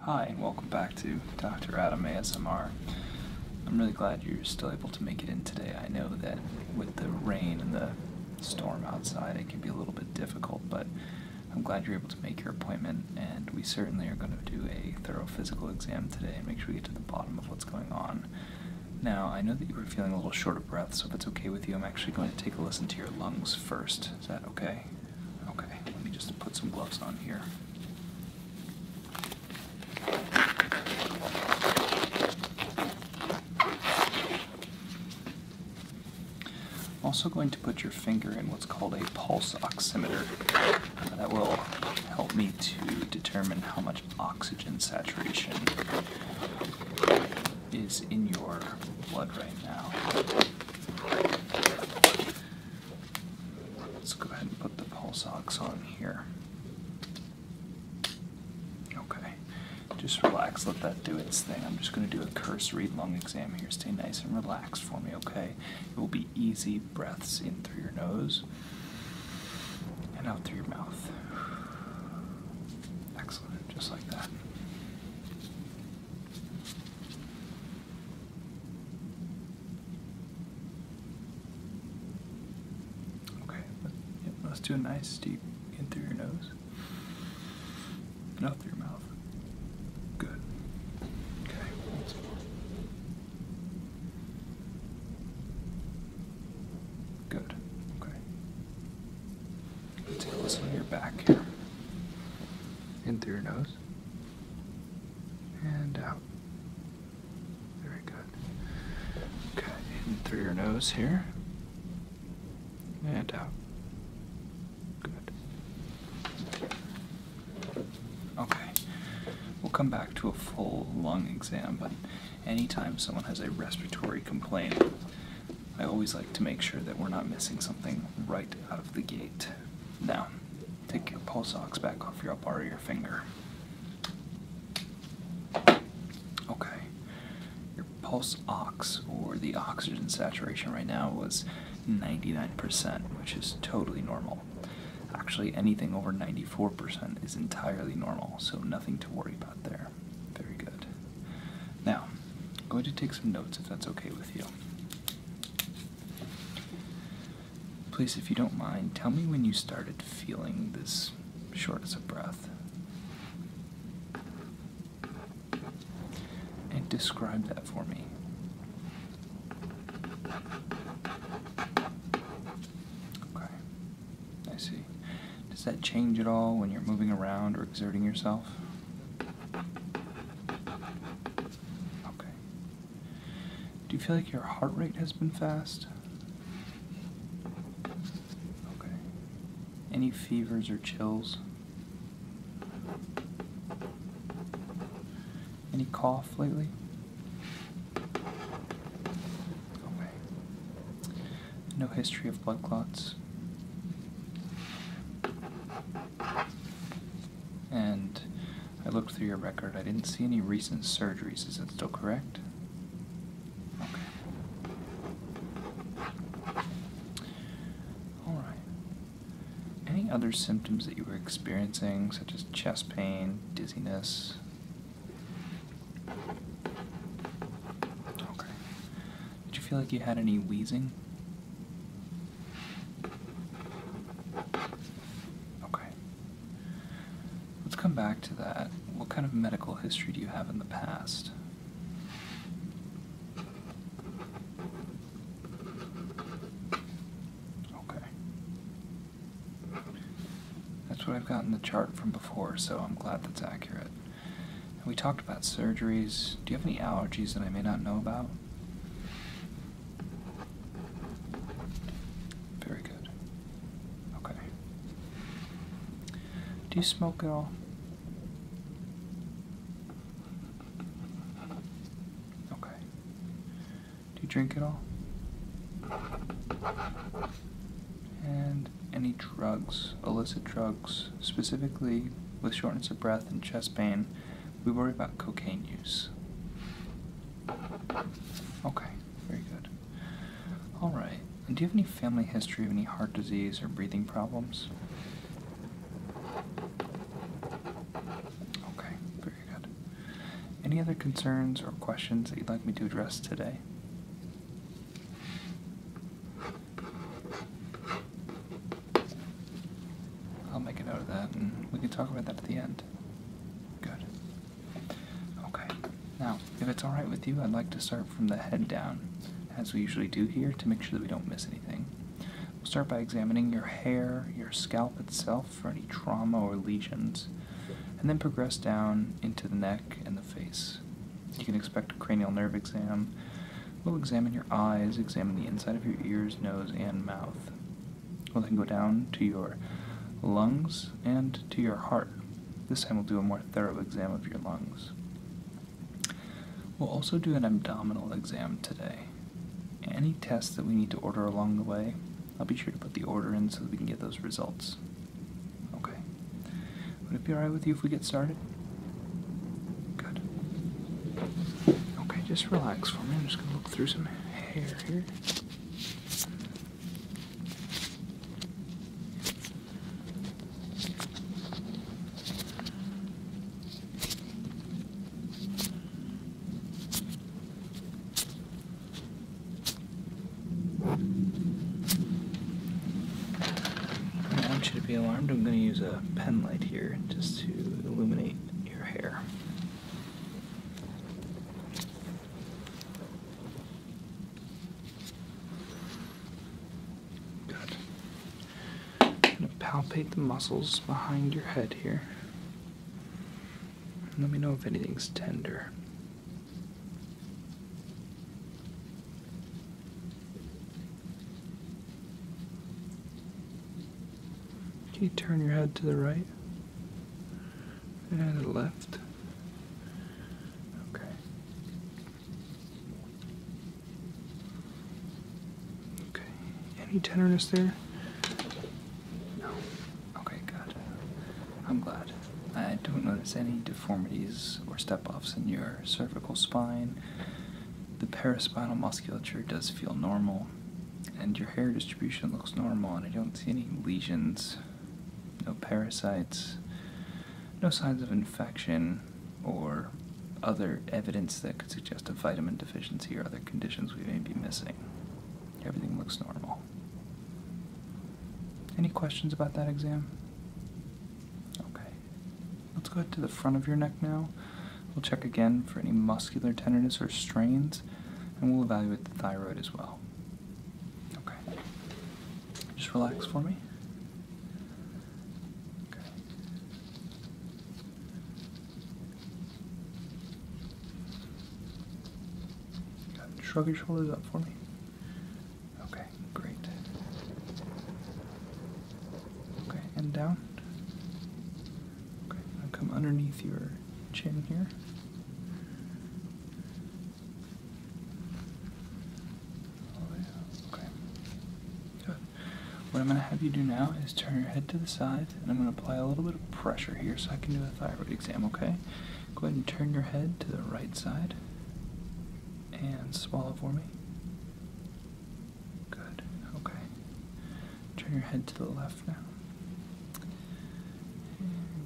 Hi, and welcome back to Dr. Adam ASMR. I'm really glad you're still able to make it in today. I know that with the rain and the storm outside, it can be a little bit difficult, but I'm glad you're able to make your appointment, and we certainly are going to do a thorough physical exam today and make sure we get to the bottom of what's going on. Now, I know that you were feeling a little short of breath, so if it's okay with you, I'm actually going to take a listen to your lungs first. Is that okay? Okay, let me just put some gloves on here. I'm also going to put your finger in what's called a pulse oximeter. that will help me to determine how much oxygen saturation is in your blood right now. Let's go ahead and put the pulse ox on here. Okay, just relax, let that do its thing. I'm just going to do a cursory lung exam here. Stay nice and relaxed for me, okay? It will be easy breaths in through your nose and out through your mouth. Excellent, just like that. Okay, let's do a nice deep in through your nose and out through your mouth. Good. Okay, Good. Okay. Let's take a listen your back here. In through your nose and out. Uh, very good. Okay, through your nose here. And out. Uh, good. Okay. We'll come back to a full lung exam, but anytime someone has a respiratory complaint, I always like to make sure that we're not missing something right out of the gate. Now, take your pulse ox back off your up bar of your finger. Okay. Your pulse ox or the oxygen saturation right now was 99%, which is totally normal. Actually, anything over 94% is entirely normal, so nothing to worry about there. Very good. Now, I'm going to take some notes if that's okay with you. Please, if you don't mind, tell me when you started feeling this shortness of breath. And describe that for me. Okay, I see. Does that change at all when you're moving around or exerting yourself? Okay. Do you feel like your heart rate has been fast? Okay. Any fevers or chills? Any cough lately? Okay. No history of blood clots. And I looked through your record. I didn't see any recent surgeries. Is that still correct? Okay. Alright. Any other symptoms that you were experiencing, such as chest pain, dizziness? Okay. Did you feel like you had any wheezing? Okay. Let's come back to that. What kind of medical history do you have in the past? Okay. That's what I've gotten the chart from before, so I'm glad that's accurate. we talked about surgeries. Do you have any allergies that I may not know about? Very good. Okay. Do you smoke at all? Okay. Do you drink at all? And any drugs, illicit drugs, specifically with shortness of breath and chest pain, we worry about cocaine use. Okay, very good. Alright, do you have any family history of any heart disease or breathing problems? Okay, very good. Any other concerns or questions that you'd like me to address today? I'll make it out of that and we can talk about that at the end. Good. Okay. Now, if it's alright with you, I'd like to start from the head down, as we usually do here, to make sure that we don't miss anything. We'll start by examining your hair, your scalp itself for any trauma or lesions, and then progress down into the neck and the face. You can expect a cranial nerve exam. We'll examine your eyes, examine the inside of your ears, nose, and mouth. We'll then go down to your lungs and to your heart. This time we'll do a more thorough exam of your lungs. We'll also do an abdominal exam today. Any tests that we need to order along the way, I'll be sure to put the order in so that we can get those results. Okay. Would it be alright with you if we get started? Good. Okay, just relax for me. I'm just going to look through some hair I don't want you to be alarmed. I'm going to use a pen light here just to illuminate your hair. I'm going to palpate the muscles behind your head here. let me know if anything's tender. Can you turn your head to the right and the left? Okay. Okay. Any tenderness there? No. Okay, good. I'm glad. I don't notice any deformities or step offs in your cervical spine. The paraspinal musculature does feel normal and your hair distribution looks normal and I don't see any lesions, no parasites, no signs of infection or other evidence that could suggest a vitamin deficiency or other conditions we may be missing. Everything looks normal. Any questions about that exam? Okay. Let's go ahead to the front of your neck now. We'll check again for any muscular tenderness or strains, and we'll evaluate the thyroid as well. Okay. Just relax for me. Okay. Shrug your shoulders up for me. Okay, great. Okay, and down. Okay, come underneath your chin here. Oh, okay. Good. What I'm going to have you do now is turn your head to the side, and I'm going to apply a little bit of pressure here so I can do a thyroid exam, okay? Go ahead and turn your head to the right side and swallow for me. Good, okay. Turn your head to the left now.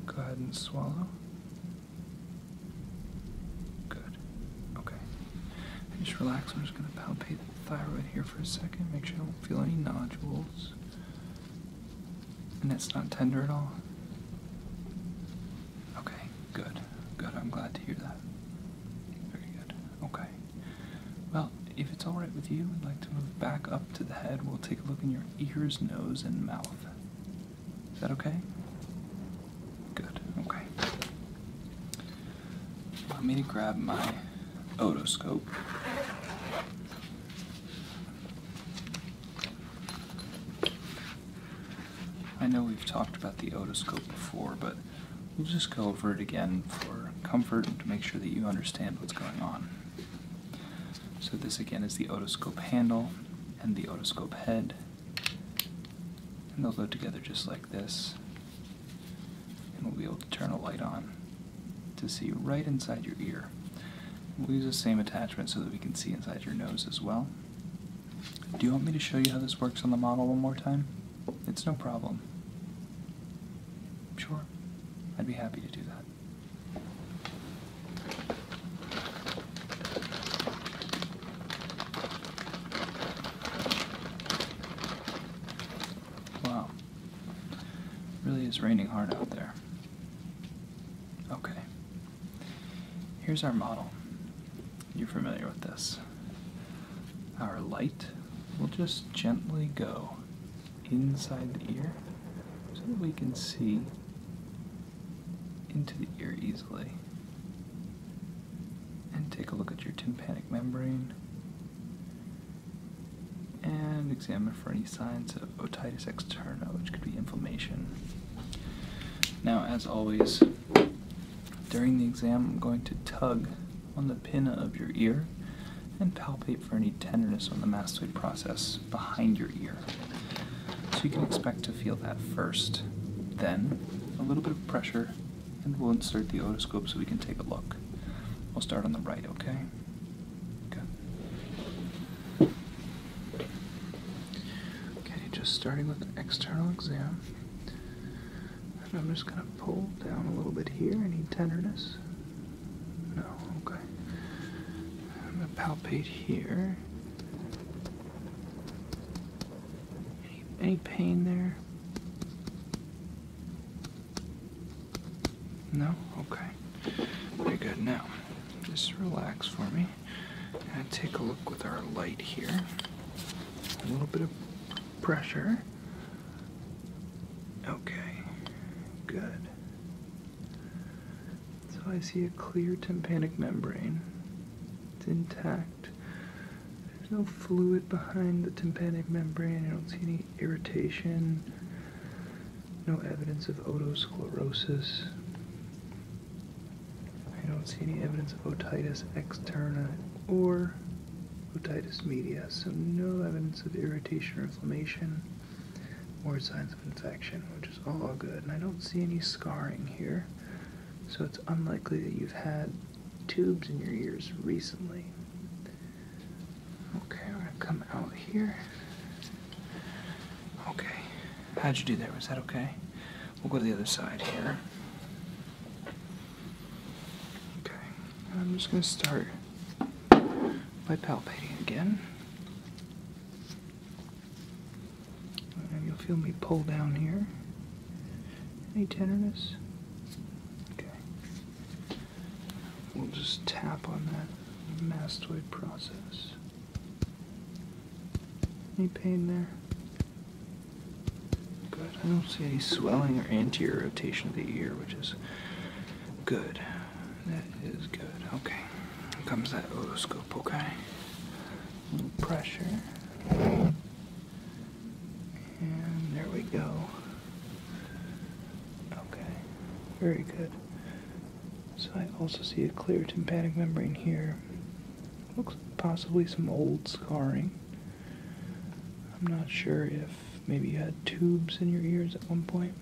go ahead and swallow. Good, okay. just relax. I'm just going to palpate the thyroid here for a second. Make sure I don't feel any nodules. And it's not tender at all. Okay, good. Good, I'm glad to hear that. Very good. Okay. Well, if it's alright with you, I'd like to move back up to the head. We'll take a look in your ears, nose, and mouth. Is that okay? Good, okay. Want me to grab my otoscope. I know we've talked about the otoscope before, but we'll just go over it again for comfort to make sure that you understand what's going on. So, this again is the otoscope handle and the otoscope head, and they'll go together just like this. And we'll be able to turn a light on to see right inside your ear. We'll use the same attachment so that we can see inside your nose as well. Do you want me to show you how this works on the model one more time? It's no problem. Sure. I'd be happy to do that. Wow. really is raining hard out there. Okay. Here's our model. You're familiar with this. Our light will just gently go inside the ear so that we can see into the ear easily. And take a look at your tympanic membrane and examine for any signs of otitis externa, which could be inflammation. Now, as always, during the exam, I'm going to tug on the pinna of your ear and palpate for any tenderness on the mastoid process behind your ear. So you can expect to feel that first. Then, a little bit of pressure, and we'll insert the otoscope so we can take a look. We'll start on the right, okay? Okay. Okay, just starting with an external exam. And I'm just going to pull down a little bit here. Any tenderness? No, okay. I'm gonna palpate here. Any, pain there? No? Okay. Very good. Now, just relax for me. And take a look with our light here. A little bit of pressure. Okay, good. So I see a clear tympanic membrane. It's intact. There's no fluid behind the tympanic membrane. I don't see any irritation. No evidence of otosclerosis. I don't see any evidence of otitis externa or otitis media, so no evidence of irritation or inflammation or signs of infection, which is all good. And I don't see any scarring here, so it's unlikely that you've had tubes in your ears recently. Okay, we're gonna come out here. Okay, how'd you do that? Was that okay? We'll go to the other side here. Okay, I'm just gonna start by palpating again. you'll feel me pull down here. Any tenderness? Okay. We'll just tap on that mastoid process. Any pain there? Good. I don't see any swelling or anterior rotation of the ear, which is Good. That is good. Okay. comes that otoscope, okay? A little pressure. And there we go. Okay. Very good. So I also see a clear tympanic membrane here. Looks possibly some old scarring. I'm not sure if Maybe you had tubes in your ears at one point.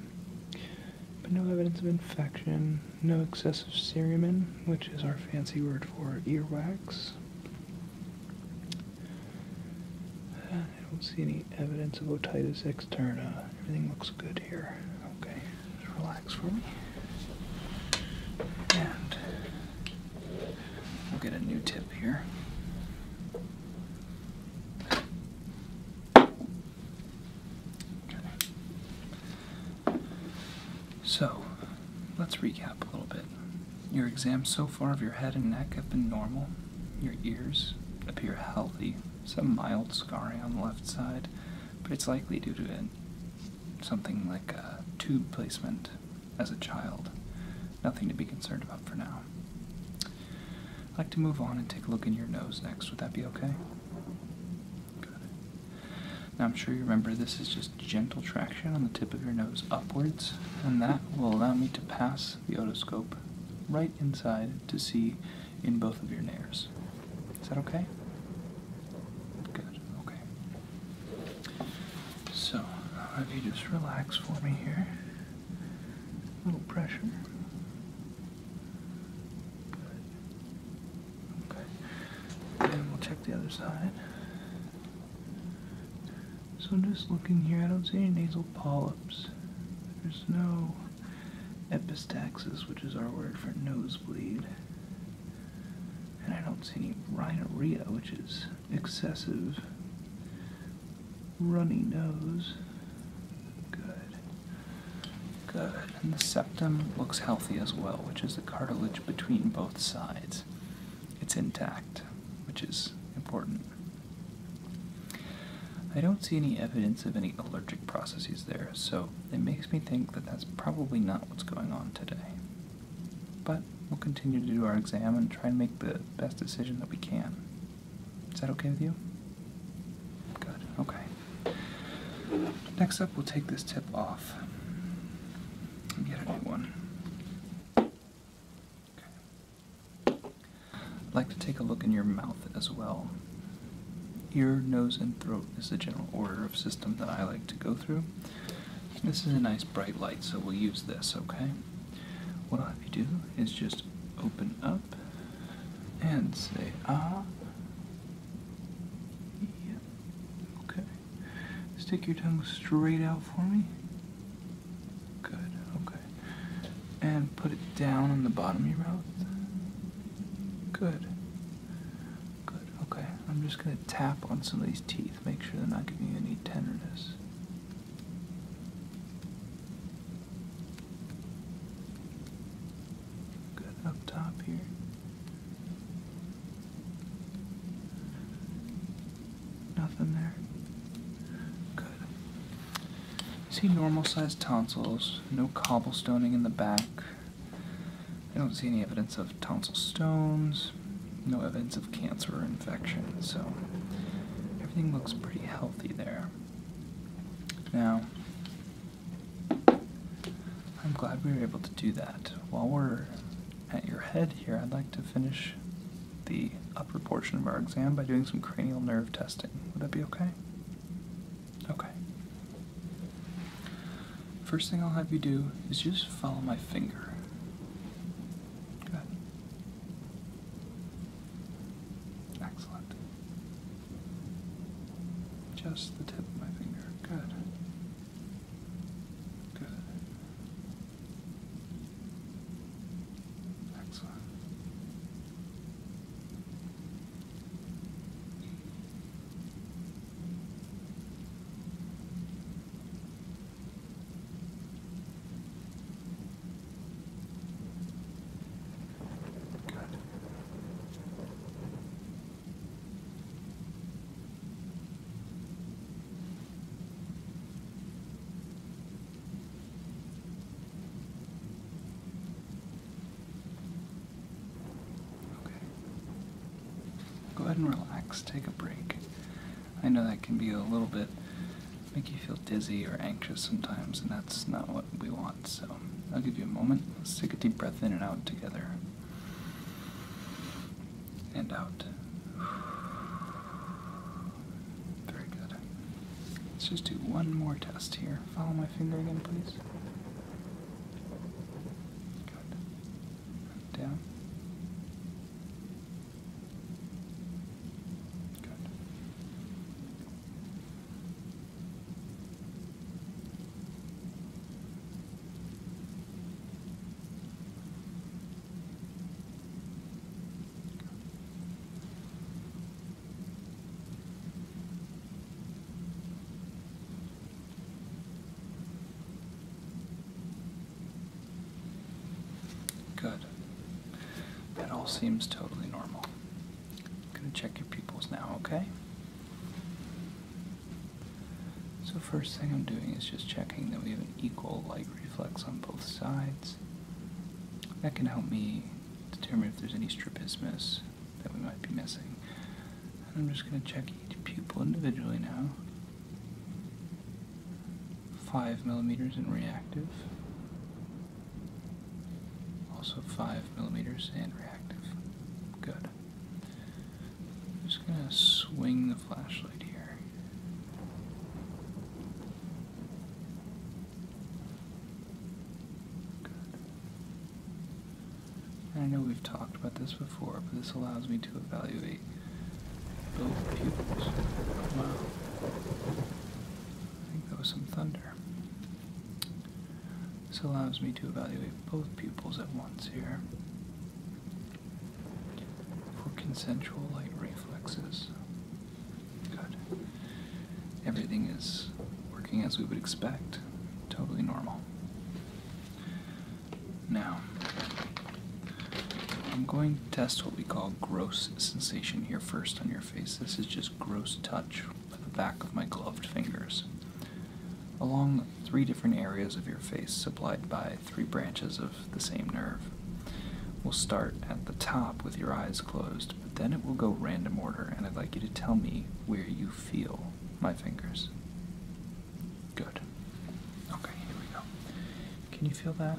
But no evidence of infection, no excessive cerumen, which is our fancy word for earwax. I don't see any evidence of otitis externa. Everything looks good here. Okay, relax for me. And we'll get a new tip here. So, let's recap a little bit. Your exams so far of your head and neck have been normal. Your ears appear healthy, some mild scarring on the left side, but it's likely due to Something like a tube placement as a child. Nothing to be concerned about for now. I'd like to move on and take a look in your nose next. Would that be okay? Good. Now, I'm sure you remember this is just gentle traction on the tip of your nose upwards, and that will allow me to pass the otoscope right inside to see in both of your nares. Is that okay? Good, okay. So, uh, if you just relax for me here. A little pressure. Okay. And we'll check the other side. So just looking here, I don't see any nasal polyps. There's no epistaxis, which is our word for nosebleed. And I don't see any rhinorrhea, which is excessive runny nose. Good. Good. And the septum looks healthy as well, which is the cartilage between both sides. It's intact, which is important. I don't see any evidence of any allergic processes there, so it makes me think that that's probably not what's going on today. But we'll continue to do our exam and try and make the best decision that we can. Is that okay with you? Good, okay. Next up, we'll take this tip off and get a new one. Okay. I'd like to take a look in your mouth as well. Ear, nose, and throat is the general order of system that I like to go through. This is a nice bright light, so we'll use this, okay? What I'll have you do is just open up and say ah. Yeah. Okay. Stick your tongue straight out for me. Good. Okay. And put it down on the bottom of your mouth. Good. Good. Okay. I'm just gonna tap on some of these teeth. Make sure they're not giving you any tenderness. Good up top here. Nothing there. Good. See normal sized tonsils, no cobblestoning in the back. I don't see any evidence of tonsil stones, no evidence of cancer or infection, so everything looks pretty healthy there. Now, I'm glad we were able to do that. While we're at your head here, I'd like to finish the upper portion of our exam by doing some cranial nerve testing. Would that be okay? Okay. First thing I'll have you do is just follow my finger. Good. Excellent. Just the tip of my finger. Good. Good. Excellent. Good. Okay. Go ahead and relax, take a break. I know that can be a little bit make you feel dizzy or anxious sometimes, and that's not what we want. So I'll give you a moment. Let's take a deep breath in and out together. And out. Very good. Let's just do one more test here. Follow my finger again, please. Good. Down. Good. Good. That all seems totally normal. I'm going to check your pupils now, okay? So, first thing I'm doing is just checking that we have an equal light reflex on both sides. That can help me determine if there's any strabismus that we might be missing. I'm just going to check each pupil individually now. 5 millimeters in reactive, also 5 millimeters and reactive. Good. I'm just going to swing the flashlight here. Good. I know we've talked about this before, but this allows me to evaluate both pupils. Wow. I think that was some thunder. This allows me to evaluate both pupils at once here for consensual light reflexes. Good. Everything is working as we would expect. Totally normal. Now, I'm going to test what we call gross sensation here first on your face. This is just gross touch with the back of my gloved fingers. Along three different areas of your face, supplied by three branches of the same nerve. We'll start at the top with your eyes closed, but then it will go random order, and I'd like you to tell me where you feel my fingers. Good. Okay, here we go. Can you feel that?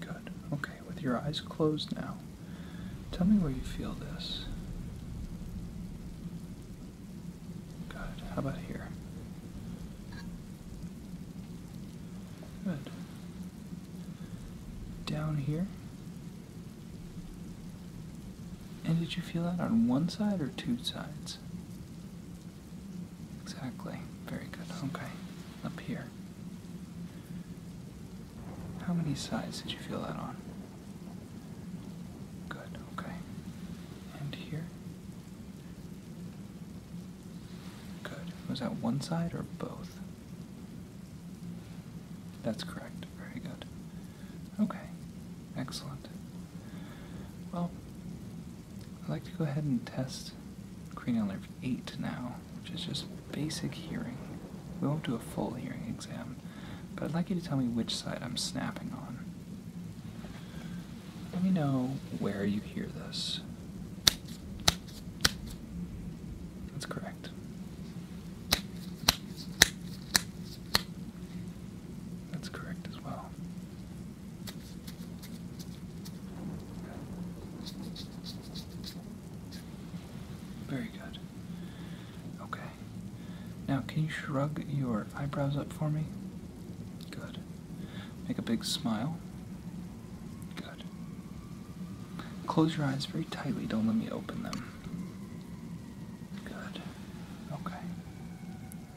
Good. Okay, with your eyes closed now, tell me where you feel this. Good. How about here? Good. Down here? And did you feel that on one side or two sides? Exactly. Very good. Okay up here. How many sides did you feel that on? Good, okay. And here? Good. Was that one side or both? That's correct. Very good. Okay, excellent. Well, I'd like to go ahead and test cranial nerve 8 now which is just basic hearing. We won't do a full hearing exam, but I'd like you to tell me which side I'm snapping on. Let me know where you hear this. That's correct. That's correct as well. Very good. Okay. Now, can you shrug your eyebrows up for me? Good. Make a big smile. Good. Close your eyes very tightly. Don't let me open them. Good. Okay.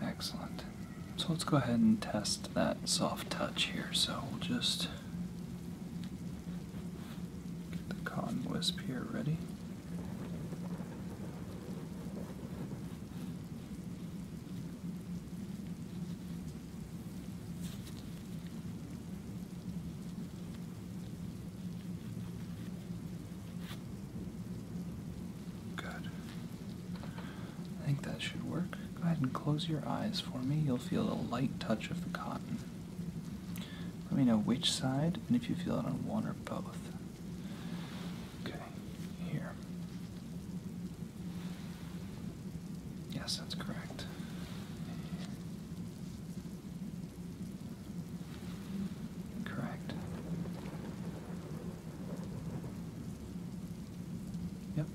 Excellent. So let's go ahead and test that soft touch here. So we'll just Get the cotton wisp here ready. Good. I think that should work. Go ahead and close your eyes for me. You'll feel a light touch of the cotton. Let me know which side and if you feel it on one or both. Okay, here. Yes, that's correct. Correct. Yep.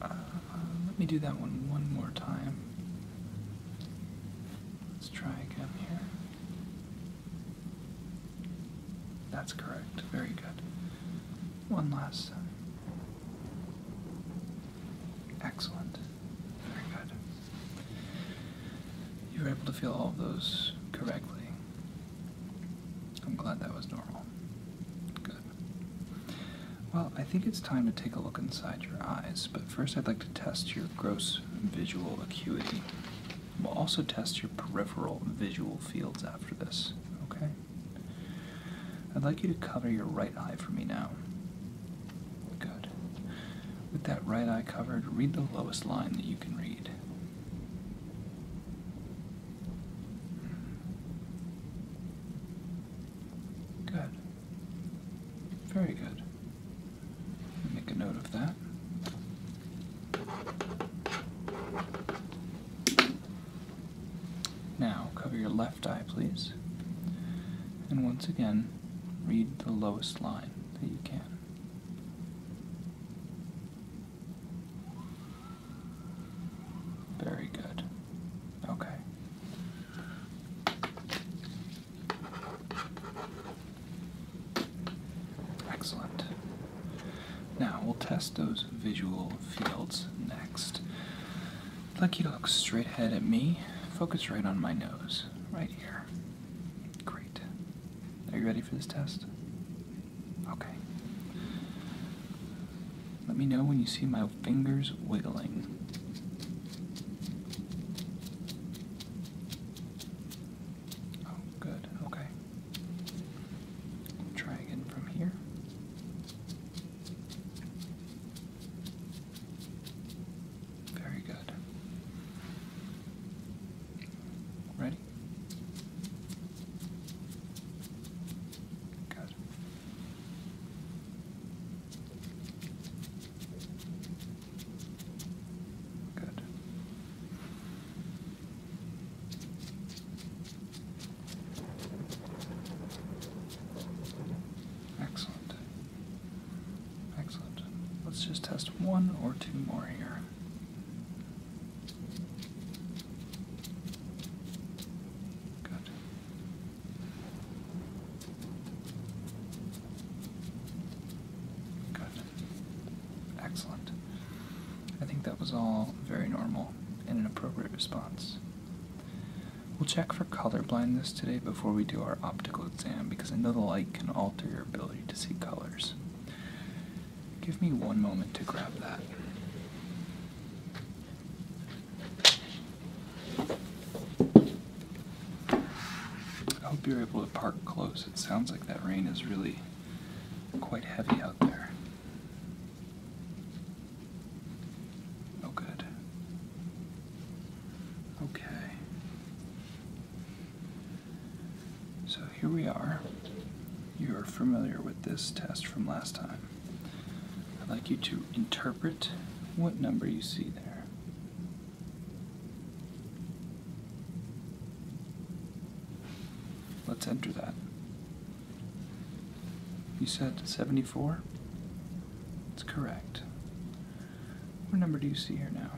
Uh, let me do that one one more time. Let's try again here. That's correct. Very good. One last time. Excellent. Very good. You were able to feel all of those correctly. I'm glad that was normal. Good. Well, I think it's time to take a look inside your eyes, but first I'd like to test your gross visual acuity. We'll also test your peripheral visual fields after this, okay? I'd like you to cover your right eye for me now. Good. With that right eye covered, read the lowest line that you can read. Good. Very good. Make a note of that. Now, cover your left eye, please. And once again, read the lowest line that you can. Very good. Okay. Excellent. Now we'll test those visual fields next. I'd like you to look straight ahead at me. Focus right on my nose, right here. Great. Are you ready for this test? Okay. Let me know when you see my fingers wiggling. Oh, good. Okay. try again from here. Very good. Ready? Good. Good. Excellent. Excellent. Let's just test one or two more here. Good. Good. Excellent. I think that was all very normal and an appropriate response. We'll check for color blindness today before we do our optical exam because I know the light can alter your ability to see colors. Give me one moment to grab that. I hope you're able to park close. It sounds like that rain is really quite heavy out there. Oh, good. Okay. So here we are. You are familiar with this test from last time. I'd like you to interpret what number you see there. Let's enter that. You said 74? That's correct. What number do you see here now?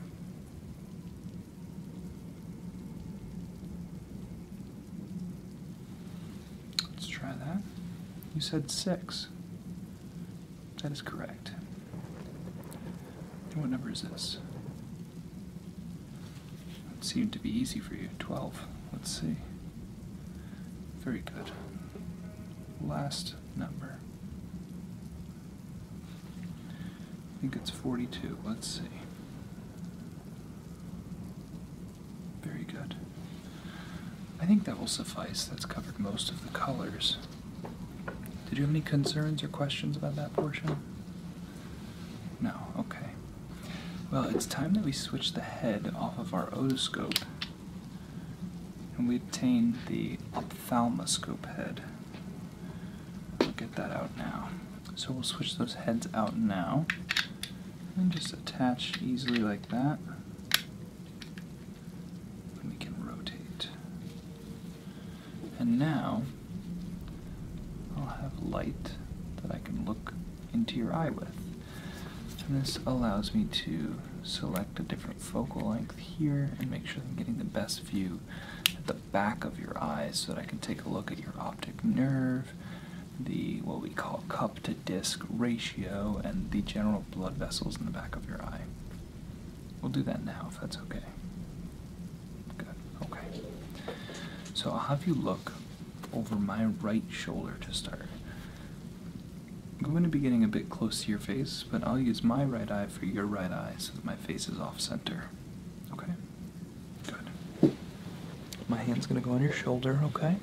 Let's try that. You said six. That is correct. what number is this? That seemed to be easy for you. 12. Let's see. Very good. Last number. I think it's 42. Let's see. Very good. I think that will suffice. That's covered most of the colors. Did you have any concerns or questions about that portion? No, okay. Well, it's time that we switch the head off of our otoscope and we obtain the ophthalmoscope head. We'll get that out now. So we'll switch those heads out now and just attach easily like that. And we can rotate. And now I'll have light that I can look into your eye with. And this allows me to select a different focal length here and make sure I'm getting the best view back of your eye so that I can take a look at your optic nerve, the what we call cup to disc ratio, and the general blood vessels in the back of your eye. We'll do that now if that's okay. Good, okay. So I'll have you look over my right shoulder to start. I'm going to be getting a bit close to your face, but I'll use my right eye for your right eye so that my face is off center. Okay? My hand's going to go on your shoulder, okay?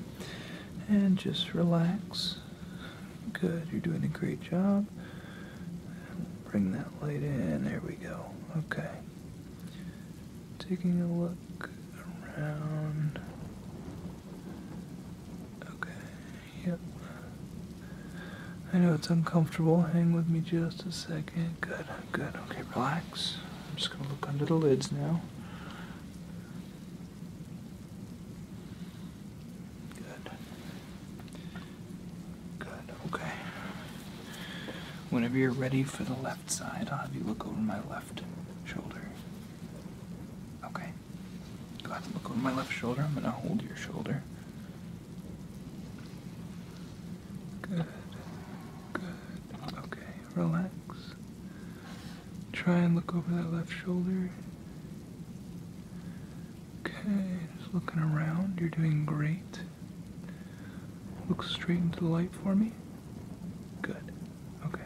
And just relax. Good. You're doing a great job. Bring that light in. There we go. Okay. Taking a look around. Okay. Yep. I know it's uncomfortable. Hang with me just a second. Okay. Good, good. Okay, relax. I'm just going to look under the lids now. Good. Good, okay. Whenever you're ready for the left side, I'll have you look over my left shoulder. Okay. Go ahead and look over my left shoulder. I'm going to hold your shoulder. Good. Good. Okay, relax. Try and look over that left shoulder. Okay, just looking around. You're doing great. Look straight into the light for me. Good. Okay,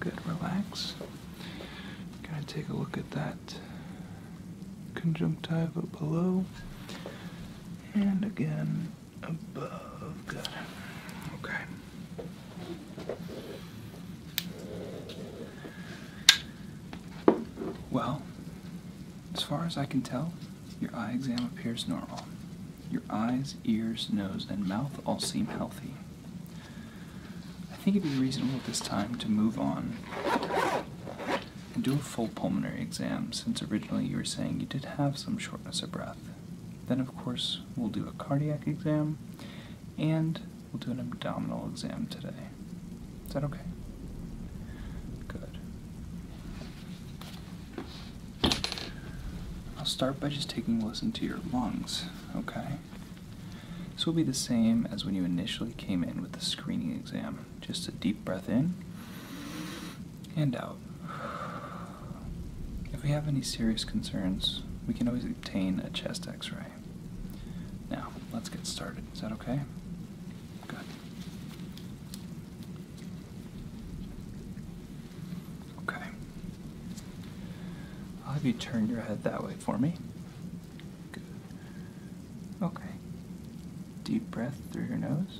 good. Relax. Gonna take a look at that conjunctiva below. And again, above. Good. Okay. Well, as far as I can tell, your eye exam appears normal. Your eyes, ears, nose, and mouth all seem healthy. I think it'd be reasonable at this time to move on and do a full pulmonary exam since originally you were saying you did have some short shortness a breath. Then, of course, we'll do a cardiac exam and we'll do an abdominal exam today. Is that okay? Good. I'll start by just taking a listen to your lungs, okay? This will be the same as when you initially came in with the screening exam. Just a deep breath in and out. If we have any serious concerns, we can always obtain a chest x ray. Now, let's get started. Is that okay? Good. Okay. I'll have you turn your head that way for me. Good. Okay. Deep breath through your nose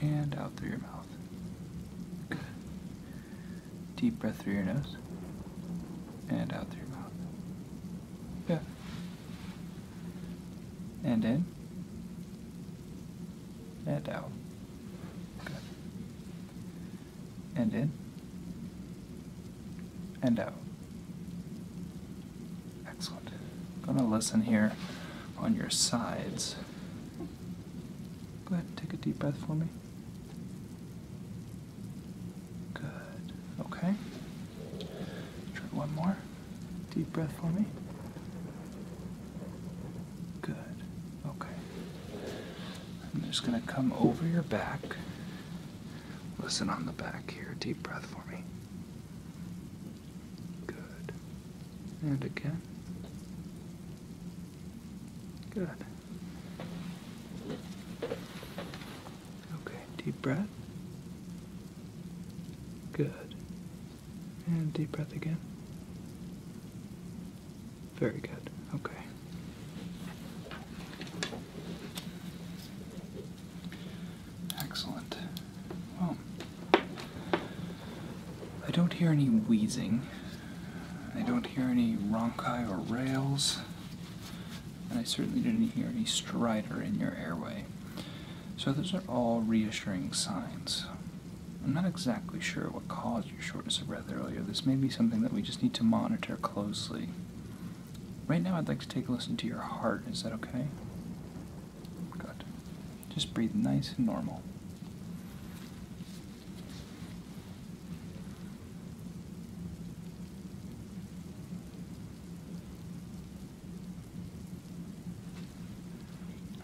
and out through your mouth. Deep breath through your nose and out through your mouth. Yeah. And in and out. Good. And in and out. Excellent. I'm going to listen here on your sides. Go ahead and take a deep breath for me. Good. Okay. Try one more. Deep breath for me. Good. Okay. I'm just going to come over your back. Listen on the back here. Deep breath for me. Good. And again. Good. Okay, deep breath. Good. And deep breath again. Very good. Okay. Excellent. Well, I don't hear any wheezing. I don't hear any ronchi or rails. And I certainly didn't hear any stridor in your airway. So those are all reassuring signs. I'm not exactly sure what caused your shortness of breath earlier. This may be something that we just need to monitor closely. Right now, I'd like to take a listen to your heart. Is that okay? Good. Just breathe nice and normal.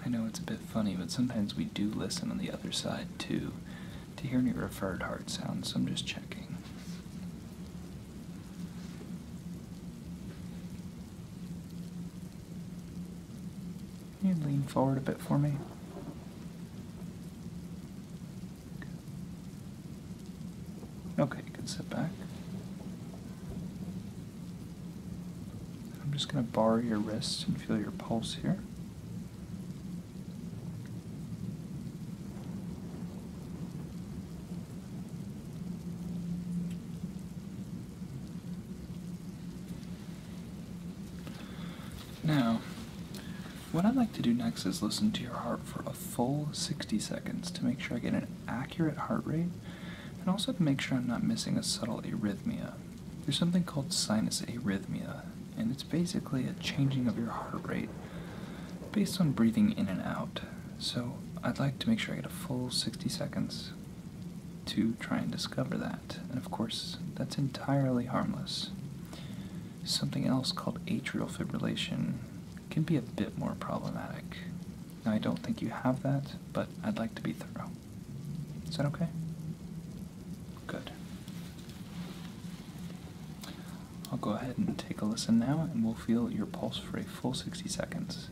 I know it's a bit funny, but sometimes we do listen on the other side too to hear any referred heart sounds, so I'm just checking. You lean forward a bit for me. Okay, you can sit back. I'm just going to bar your wrist and feel your pulse here. Now, what I'd like to do next is listen to your heart for a full 60 seconds to make sure I get an accurate heart rate and also to make sure I'm not missing a subtle arrhythmia. There's something called sinus arrhythmia, and it's basically a changing of your heart rate based on breathing in and out. So I'd like to make sure I get a full 60 seconds to try and discover that. And of course, that's entirely harmless. Something else called atrial fibrillation can be a bit more problematic. Now, I don't think you have that, but I'd like to be thorough. Is that okay? Good. I'll go ahead and take a listen now, and we'll feel your pulse for a full 60 seconds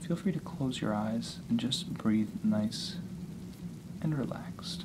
feel free to close your eyes and just breathe nice and relaxed.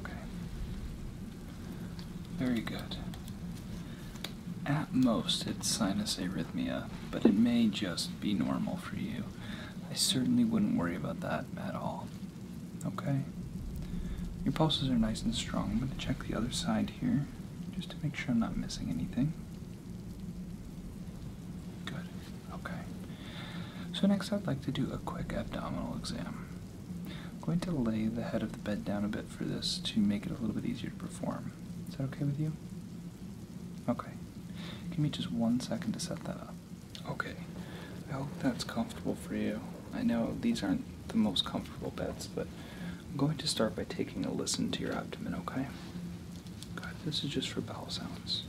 Okay. Very good. At most, it's sinus arrhythmia, but it may just be normal for you. I certainly wouldn't worry about that at all. Okay? Your pulses are nice and strong. I'm going to check the other side here just to make sure I'm not missing anything. Good. Okay. So next I'd like to do a quick abdominal exam. I'm going to lay the head of the bed down a bit for this to make it a little bit easier to perform. Is that okay with you? Okay. Give me just one second to set that up. Okay. I hope that's comfortable for you. I know these aren't the most comfortable beds, but I'm going to start by taking a listen to your abdomen, okay? this is just for bowel sounds.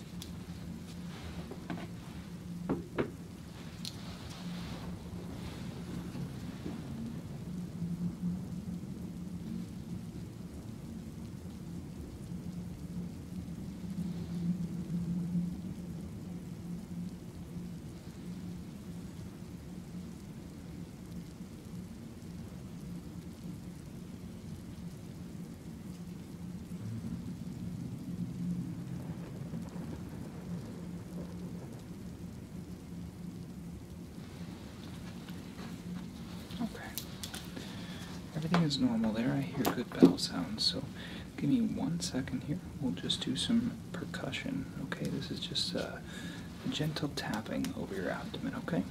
Okay. Everything is normal there. I hear good bell sounds, so give me one second here. We'll just do some percussion, okay? This is just uh, gentle tapping over your abdomen, okay?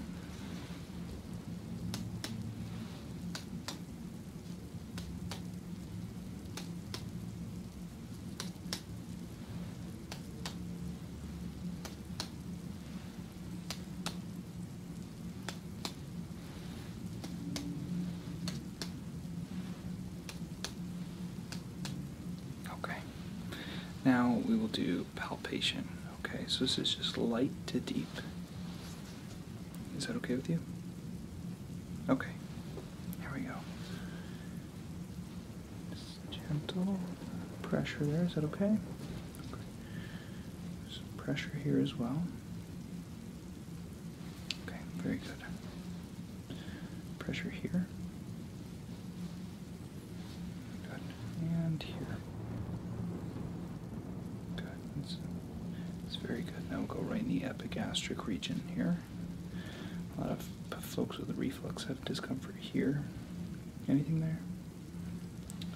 Okay. Now we will do palpation. Okay, so this is just light to deep. Is that okay with you? Okay, here we go. gentle pressure there, is that okay? Some pressure here as well. Okay, very good. Pressure here. Good. And here. Good. That's it's very good. Now we'll go right in the epigastric region here. A lot of folks with reflux have discomfort here. Anything there?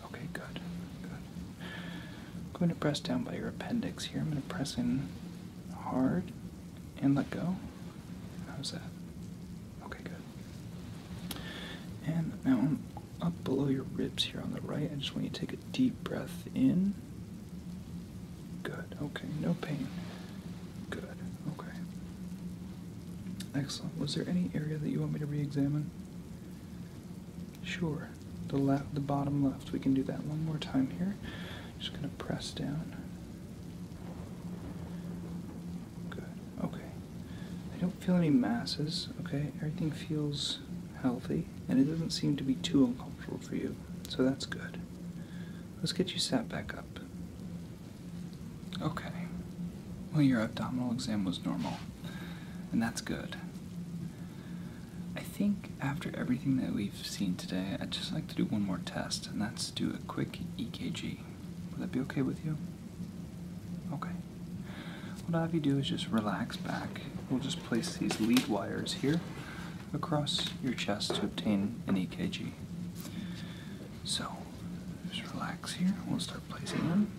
Okay, good. Good. I'm going to press down by your appendix here. I'm going to press in hard and let go. How's that? Okay, good. And now I'm up below your ribs here on the right. I just want you to take a deep breath in. Good. Okay. No pain. Good. Okay. Excellent. Was there any area that you want me to re-examine? Sure. The left, the bottom left. We can do that one more time here. Just gonna press down. Good. Okay feel any masses, okay? Everything feels healthy, and it doesn't seem to be too uncomfortable for you, so that's good. Let's get you sat back up. Okay. Well, your abdominal exam was normal, and that's good. I think after everything that we've seen today, I'd just like to do one more test, and that's do a quick EKG. Would that be okay with you? Okay. What I have you do is just relax back. We'll just place these lead wires here across your chest to obtain an EKG. So, just relax here. We'll start placing them.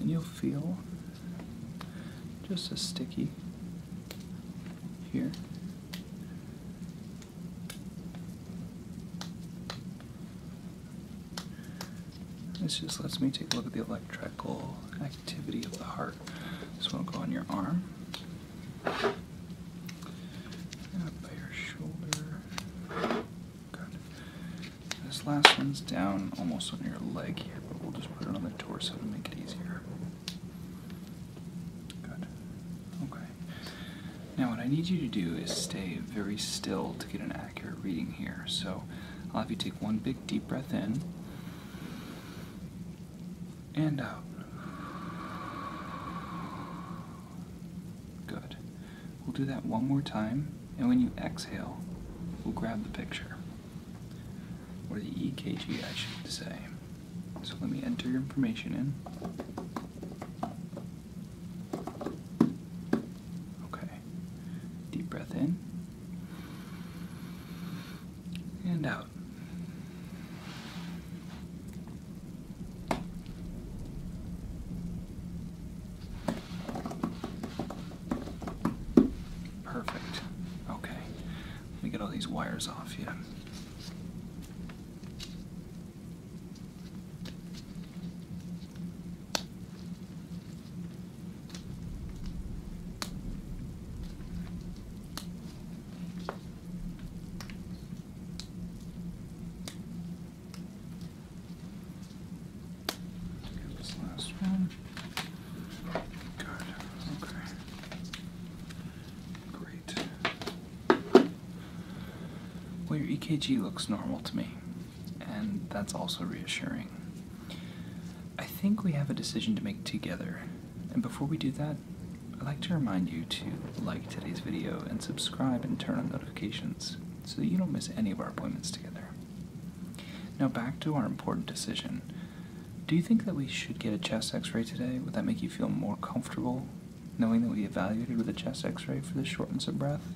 And you'll feel just a sticky here. This just lets me take a look at the electrical activity of the heart. This one will go on your arm, up by your shoulder. This last one's down almost on your leg here, but we'll just put it on the torso to make it easier. Good. Okay. Now, what I need you to do is stay very still to get an accurate reading here. So I'll have you take one big deep breath in and out. Good. We'll do that one more time, and when you exhale, we'll grab the picture. Or the EKG, I should say. So let me enter your information in. Okay. Deep breath in and out. Perfect. Okay. Let me get all these wires off here this last one. Good. Okay. Great. Well, your EKG looks normal to me and that's also reassuring. I think we have a decision to make together, and before we do that, I'd like to remind you to like today's video and subscribe and turn on notifications so that you don't miss any of our appointments together. Now, back to our important decision. Do you think that we should get a chest x ray today? Would that make you feel more comfortable knowing that we evaluated with a chest x ray for the shortness of breath?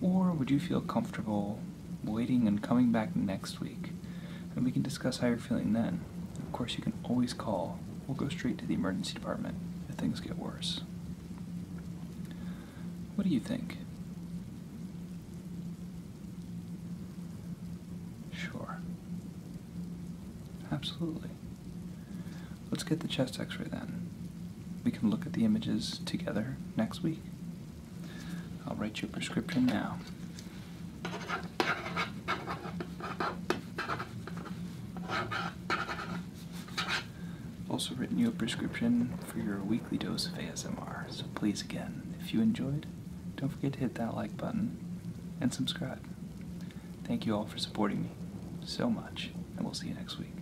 Or would you feel comfortable waiting and coming back next week, and we can discuss how you're feeling then. Of course, you can always call. We'll go straight to the emergency department if things get worse. What do you think? Sure. Absolutely. Let's get the chest x ray then. We can look at the images together next week. I'll write you a prescription now. Also written you a prescription for your weekly dose of ASMR. So please again, if you enjoyed, don't forget to hit that like button and subscribe. Thank you all for supporting me so much, and we'll see you next week.